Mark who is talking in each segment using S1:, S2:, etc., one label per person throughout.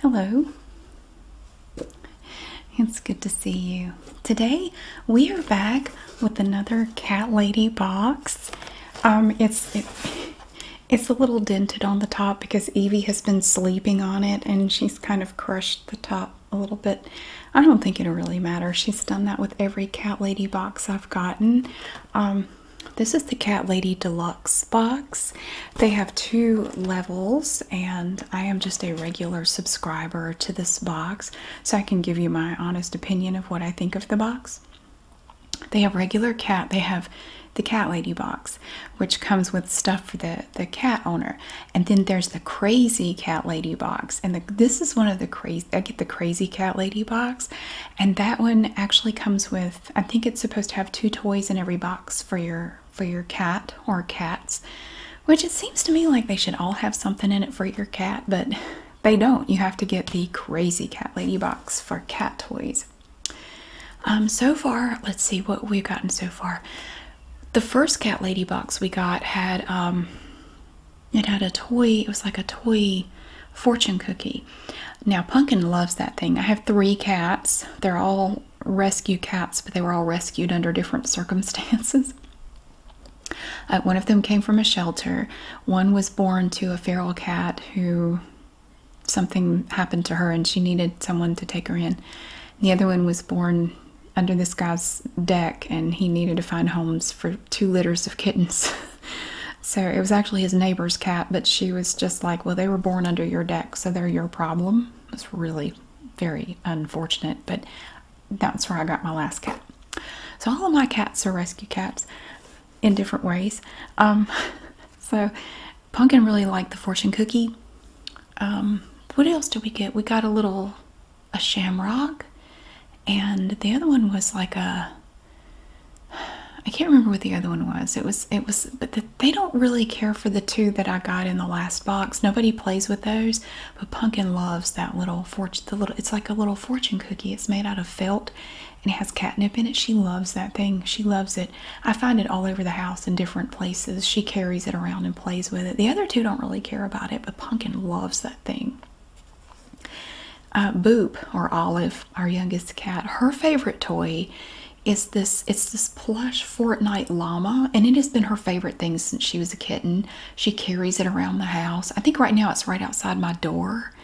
S1: Hello. It's good to see you. Today we are back with another cat lady box. Um, it's it's a little dented on the top because Evie has been sleeping on it and she's kind of crushed the top a little bit. I don't think it'll really matter. She's done that with every cat lady box I've gotten. Um, this is the Cat Lady Deluxe box. They have two levels, and I am just a regular subscriber to this box, so I can give you my honest opinion of what I think of the box. They have regular cat, they have the Cat Lady box, which comes with stuff for the, the cat owner. And then there's the Crazy Cat Lady box. And this is one of the crazy, I get the Crazy Cat Lady box. And that one actually comes with I think it's supposed to have two toys in every box for your for your cat or cats, which it seems to me like they should all have something in it for your cat, but they don't. You have to get the crazy cat lady box for cat toys. Um, so far, let's see what we've gotten so far. The first cat lady box we got had um, it had a toy. It was like a toy fortune cookie. Now, Punkin loves that thing. I have three cats. They're all rescue cats, but they were all rescued under different circumstances. Uh, one of them came from a shelter. One was born to a feral cat who something happened to her and she needed someone to take her in. The other one was born under this guy's deck and he needed to find homes for two litters of kittens. so it was actually his neighbor's cat, but she was just like, Well, they were born under your deck, so they're your problem. It's really very unfortunate, but that's where I got my last cat. So all of my cats are rescue cats in different ways. Um, so Pumpkin really liked the fortune cookie. Um, what else did we get? We got a little a shamrock, and the other one was like a I can't remember what the other one was. It was it was but they don't really care for the two that I got in the last box. Nobody plays with those, but Pumpkin loves that little fortune the little it's like a little fortune cookie. It's made out of felt and it has catnip in it. She loves that thing. She loves it. I find it all over the house in different places. She carries it around and plays with it. The other two don't really care about it, but Pumpkin loves that thing. Uh, Boop or Olive, our youngest cat, her favorite toy is this. It's this plush Fortnite llama, and it has been her favorite thing since she was a kitten. She carries it around the house. I think right now it's right outside my door,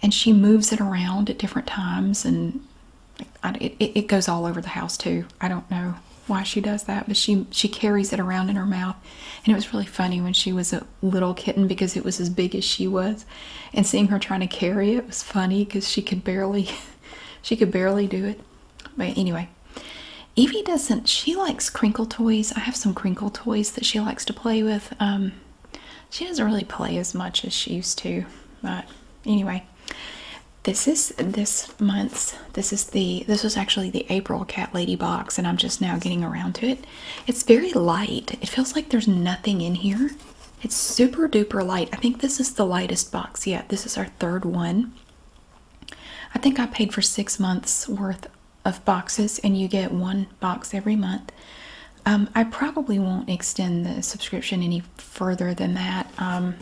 S1: and she moves it around at different times, and it goes all over the house too. I don't know why she does that, but she she carries it around in her mouth, and it was really funny when she was a little kitten because it was as big as she was and seeing her trying to carry it was funny because she could barely she could barely do it but anyway evie doesn't she likes crinkle toys i have some crinkle toys that she likes to play with um, she doesn't really play as much as she used to but anyway this is this month's this is the this was actually the april cat lady box and i'm just now getting around to it it's very light. It feels like there's nothing in here. It's super duper light. I think this is the lightest box yet. This is our third one. I think I paid for six months worth of boxes, and you get one box every month. Um, I probably won't extend the subscription any further than that. Um,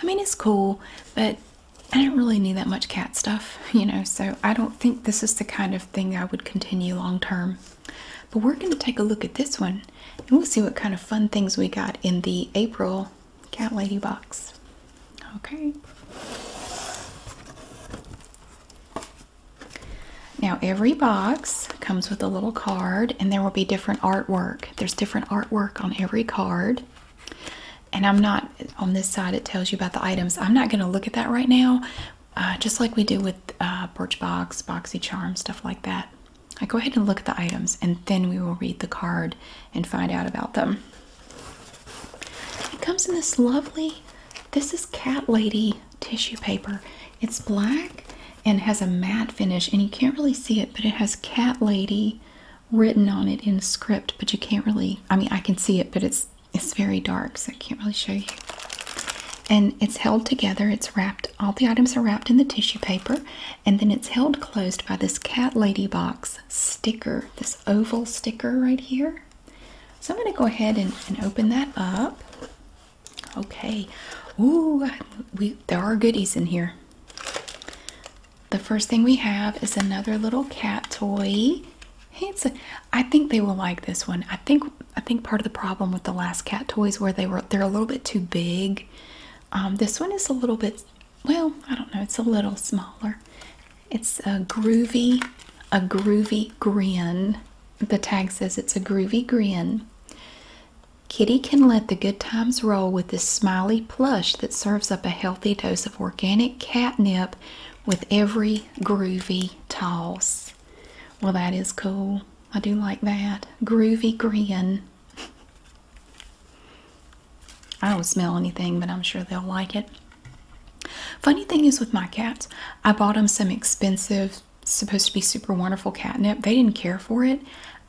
S1: I mean, it's cool, but I don't really need that much cat stuff, you know, so I don't think this is the kind of thing I would continue long term. But we're going to take a look at this one and we'll see what kind of fun things we got in the April Cat Lady box. Okay. Now, every box comes with a little card, and there will be different artwork. There's different artwork on every card. And I'm not on this side, it tells you about the items. I'm not going to look at that right now uh, just like we do with uh, Birchbox, BoxyCharm, stuff like that. I go ahead and look at the items and then we will read the card and find out about them. It comes in this lovely, this is Cat Lady tissue paper. It's black and has a matte finish and you can't really see it, but it has Cat Lady written on it in script, but you can't really, I mean, I can see it, but it's it's very dark, so I can't really show you. And it's held together, it's wrapped, all the items are wrapped in the tissue paper, and then it's held closed by this Cat Lady Box sticker, this oval sticker right here. So I'm going to go ahead and, open that up. Okay. Ooh, there are goodies in here. The first thing we have is another little cat toy. I think they will like this one. I think I think part of the problem with the last cat toys where they were they're a little bit too big. Um, this one is a little bit well, I don't know, it's a little smaller. It's a groovy, a groovy grin. The tag says it's a groovy grin. Kitty can let the good times roll with this smiley plush that serves up a healthy dose of organic catnip with every groovy toss. Well, that is cool. I do like that. Groovy grin. I don't smell anything, but I'm sure they'll like it. Funny thing is with my cats, I bought them some expensive, supposed to be super wonderful catnip. They didn't care for it.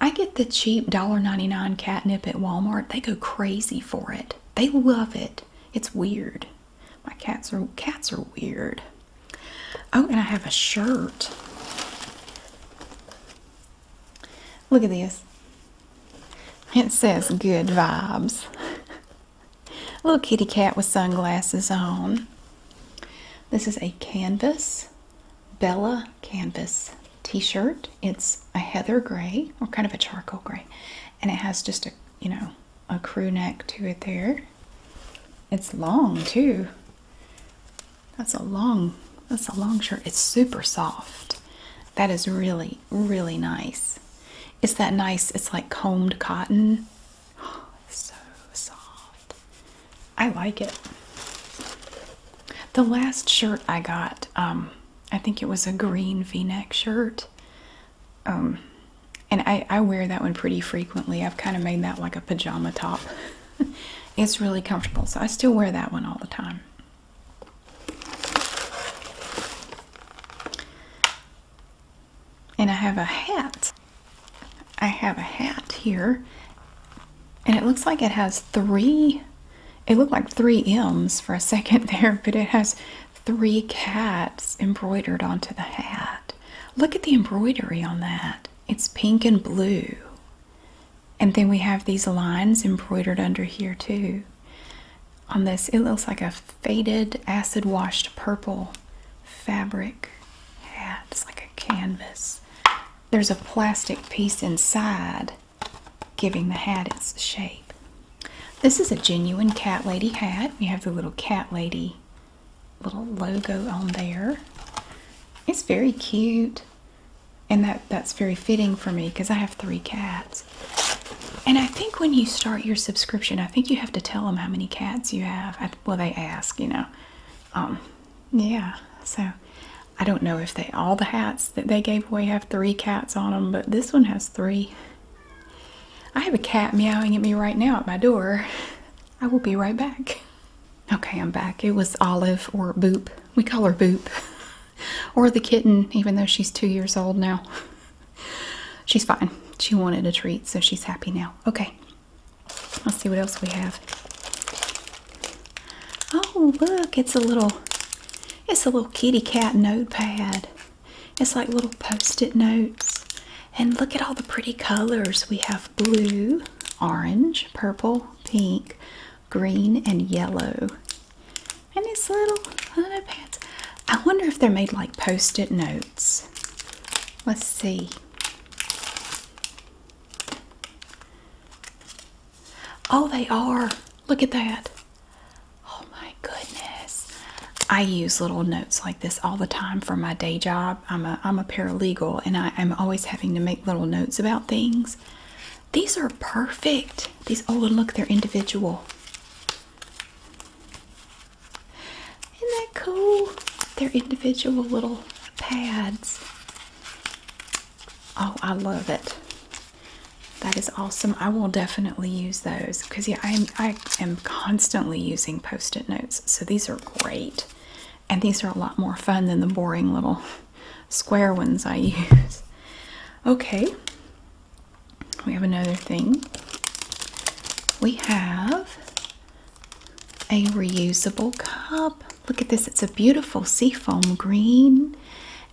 S1: I get the cheap dollar ninety nine catnip at Walmart. They go crazy for it. They love it. It's weird. My cats are cats are weird. Oh, and I have a shirt. Look at this. It says good vibes. little kitty cat with sunglasses on. This is a canvas, Bella canvas t-shirt. It's a heather gray or kind of a charcoal gray. And it has just a, you know, a, crew neck to it there. It's long too. That's a long that's a long shirt. It's super soft. That is really, really nice. It's that nice, it's like combed cotton. so soft. I like it. The last shirt I got, um, I think it was a green v neck shirt. Um, and I wear that one pretty frequently. I've kind of made that like a pajama top. it's really comfortable, so I still wear that one all the time. And I have a hat. I have a hat here, and it looks like it has three. It looked like three M's for a second there, but it has three cats embroidered onto the hat. Look at the embroidery on that. It's pink and blue. And then we have these lines embroidered under here too. On this, it looks like a faded acid washed purple fabric hat. It's like a canvas. There's a plastic piece inside giving the hat its shape. This is a genuine cat lady hat. You have the little cat lady little logo on there. It's very cute. And that, that's very fitting for me because I have three cats. And I think when you start your subscription, I think you have to tell them how many cats you have. well, they ask, you know. Um, yeah, so I don't know if they all the hats that they gave away have three cats on them, but this one has three. I have a cat meowing at me right now at my door. I will be right back. Okay, I'm back. It was Olive or Boop. We call her Boop. or the kitten, even though she's two years old now. she's fine. She wanted a treat, so she's happy now. Okay, let's see what else we have. Oh, look, it's a little it's a little kitty cat notepad. It's like little post-it notes. And look at all the pretty colors. We have blue, orange, purple, pink, green, and yellow. And these little little pads. I wonder if they're made like post-it notes. Let's see. Oh, they are. Look at that. Oh my goodness. I use little notes like this all the time for my day job. I'm a I'm a paralegal and I, am always having to make little notes about things. These are perfect. These oh look, they're individual. Isn't that cool? They're individual little pads. Oh, I love it. That is awesome. I will definitely use those because yeah, I am constantly using post-it notes. So these are great. And these are a lot more fun than the boring little square ones I use. Okay. We have another thing. We have a reusable cup. Look at this. It's a beautiful seafoam green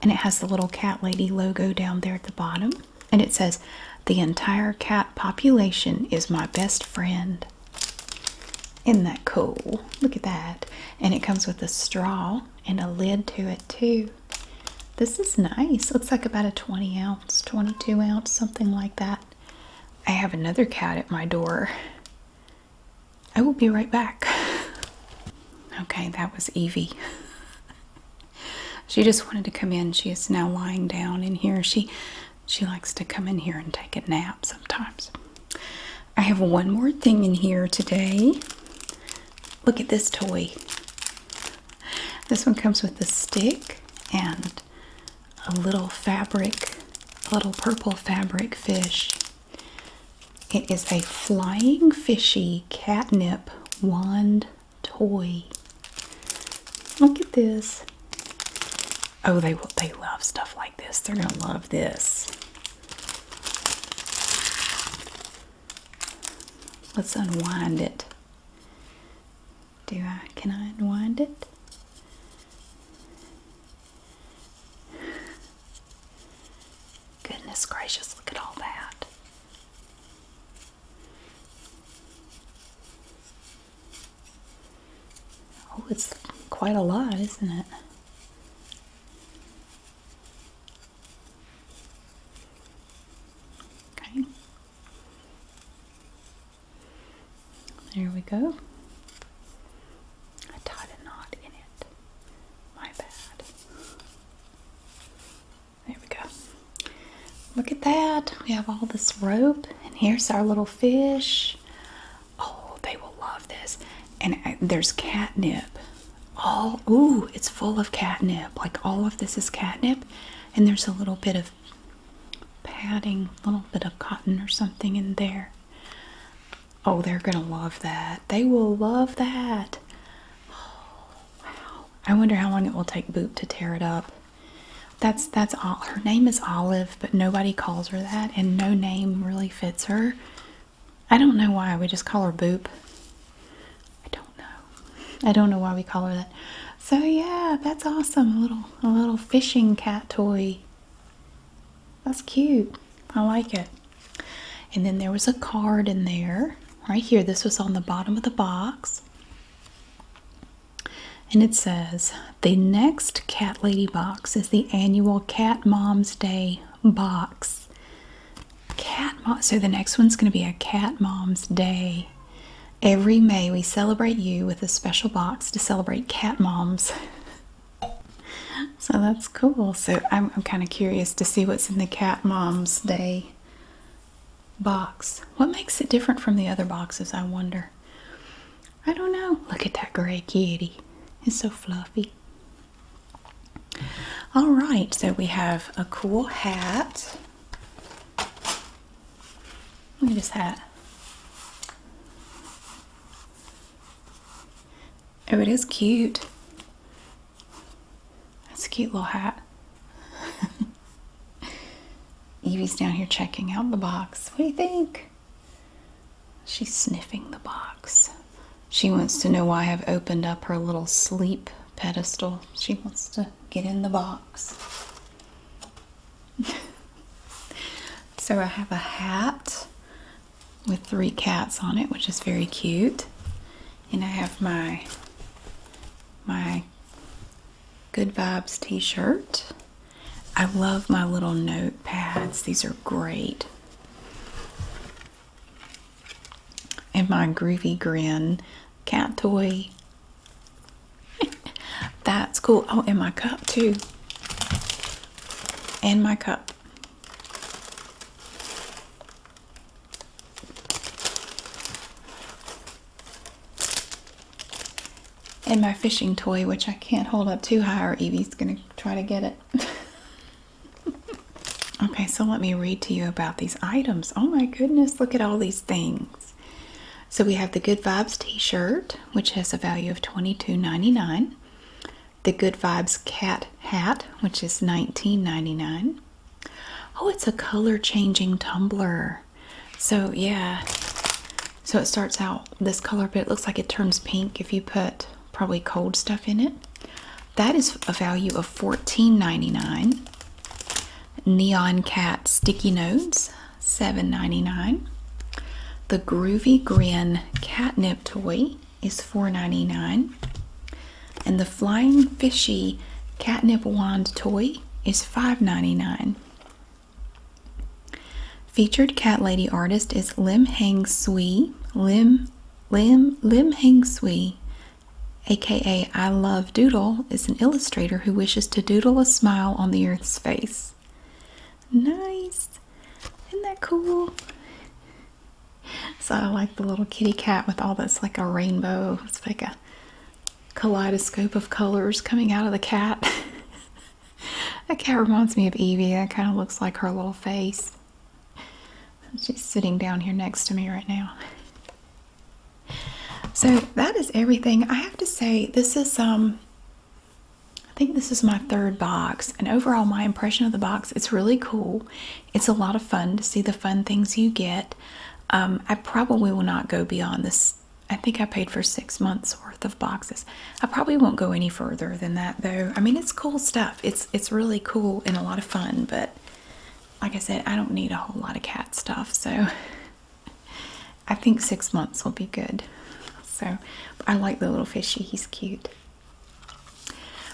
S1: and it has the little cat lady logo down there at the bottom. And it says, The entire cat population is my best friend. Isn't that cool? Look at that. And it comes with a straw and a lid to it, too. This is nice. Looks like about a 20 ounce, 22 ounce, something like that. I have another cat at my door. I will be right back. Okay, that was Evie. she just wanted to come in. She is now lying down in here. She she likes to come in here and take a nap sometimes. I have one more thing in here today. Look at this toy. This one comes with a stick and a little fabric, a little purple fabric fish. It is a flying fishy catnip wand toy. Look at this. Oh, they will they love stuff like this. They're gonna love this. Let's unwind it. Do I can I unwind it? Goodness gracious, look at all that. Oh, it's quite a lot, isn't it? Okay. There we go. I tied a knot in it. My bad. There we go. Look at that. We have all this rope, and here's our little fish. Oh, they will love this. And uh, there's catnip. All ooh, it's full of catnip. Like all of this is catnip, and there's a little bit of padding, a little bit of cotton or something in there. Oh, they're gonna love that. They will love that. wow. I wonder how long it will take Boop to tear it up. That's that's all. Her name is Olive, but nobody calls her that, and no name really fits her. I don't know why we just call her Boop. I don't know. I don't know why we call her that. So yeah, that's awesome. A little a little fishing cat toy. That's cute. I like it. And then there was a card in there, right here. This was on the bottom of the box. And it says, The next Cat Lady box is the annual Cat Mom's Day box. Cat Mom. So the next one's going to be a Cat Mom's Day. Every May, we celebrate you with a special box to celebrate cat moms. So that's cool. So I'm, kind of curious to see what's in the Cat Mom's Day box. What makes it different from the other boxes, I wonder? I don't know. Look at that gray kitty. It's so fluffy. All right, so we have a cool hat. Look at this hat. Oh, it is cute. That's a cute little hat. Evie's down here checking out the box. What do you think? She's sniffing the box. She wants to know why I've opened up her little sleep pedestal. She wants to get in the box. so I have a hat with three cats on it, which is very cute. And I have my my Good Vibes t-shirt. I love my little notepads. These are great. And my Groovy Grin cat toy. That's cool. Oh, and my cup too. And my cup. And my fishing toy, which I can't hold up too high, or Evie's going to try to get it. okay, so let me read to you about these items. Oh my goodness, look at all these things. So we have the Good Vibes t-shirt, which has a value of twenty two ninety nine. The Good Vibes cat hat, which is nineteen ninety nine. Oh, it's a color changing tumbler. So yeah. So it starts out this color, but it looks like it turns pink if you put probably cold stuff in it. That is a value of fourteen ninety nine. Neon cat sticky notes. $7.99. The Groovy Grin Catnip Toy is $4.99. And the Flying Fishy Catnip Wand Toy is $5.99. Featured cat lady artist is Lim Hang Sui, Lim Lim Lim Hang Sui, aka I Love Doodle, is an illustrator who wishes to doodle a smile on the Earth's face nice. Isn't that cool? So I like the little kitty cat with all this like a rainbow. It's like a kaleidoscope of colors coming out of the cat. that cat reminds me of Evie. That kind of looks like her little face. She's sitting down here next to me right now. So that is everything. I have to say, this is um I think this is my third box, and overall, my impression of the box it's really cool. It's a lot of fun to see the fun things you get. Um, I probably will not go beyond this. I think I paid for six months worth of boxes. I probably won't go any further than that, though. I mean, it's cool stuff. It's it's really cool and a lot of fun, but like I said, I don't need a whole lot of cat stuff, so I think six months will be good. So I like the little fishy, he's cute.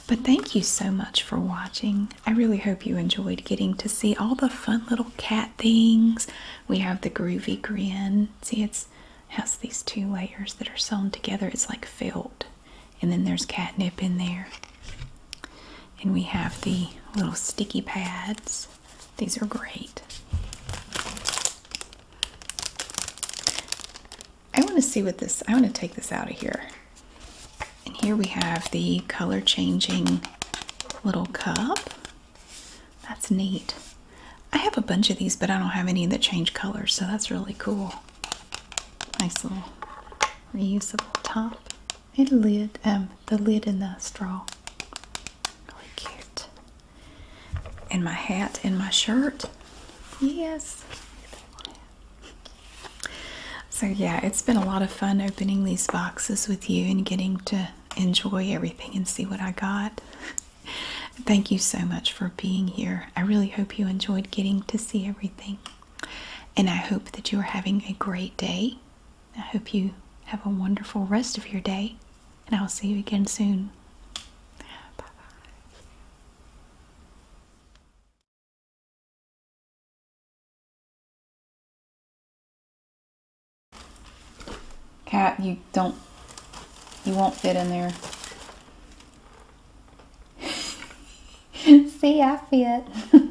S1: But thank you so much for watching. I really hope you enjoyed getting to see all the fun little cat things. We have the groovy grin. See, it's has these two layers that are sewn together. It's like felt, And then there's catnip in there. And we have the little sticky pads. These are great. I want to see what this, I want to take this out of here. And here we have the color changing little cup. That's neat. I have a bunch of these, but I don't have any that change colors, so that's really cool. Nice little reusable top and lid, um, the lid and the straw. Really cute. And my hat in my shirt. Yes. So yeah, it's been a lot of fun opening these boxes with you and getting to enjoy everything and see what I got. Thank you so much for being here. I really hope you enjoyed getting to see everything. And I hope that you are having a great day I hope you have a wonderful rest of your day, and I'll see you again soon. Bye Cat, you don't, you won't fit in there. see, I fit.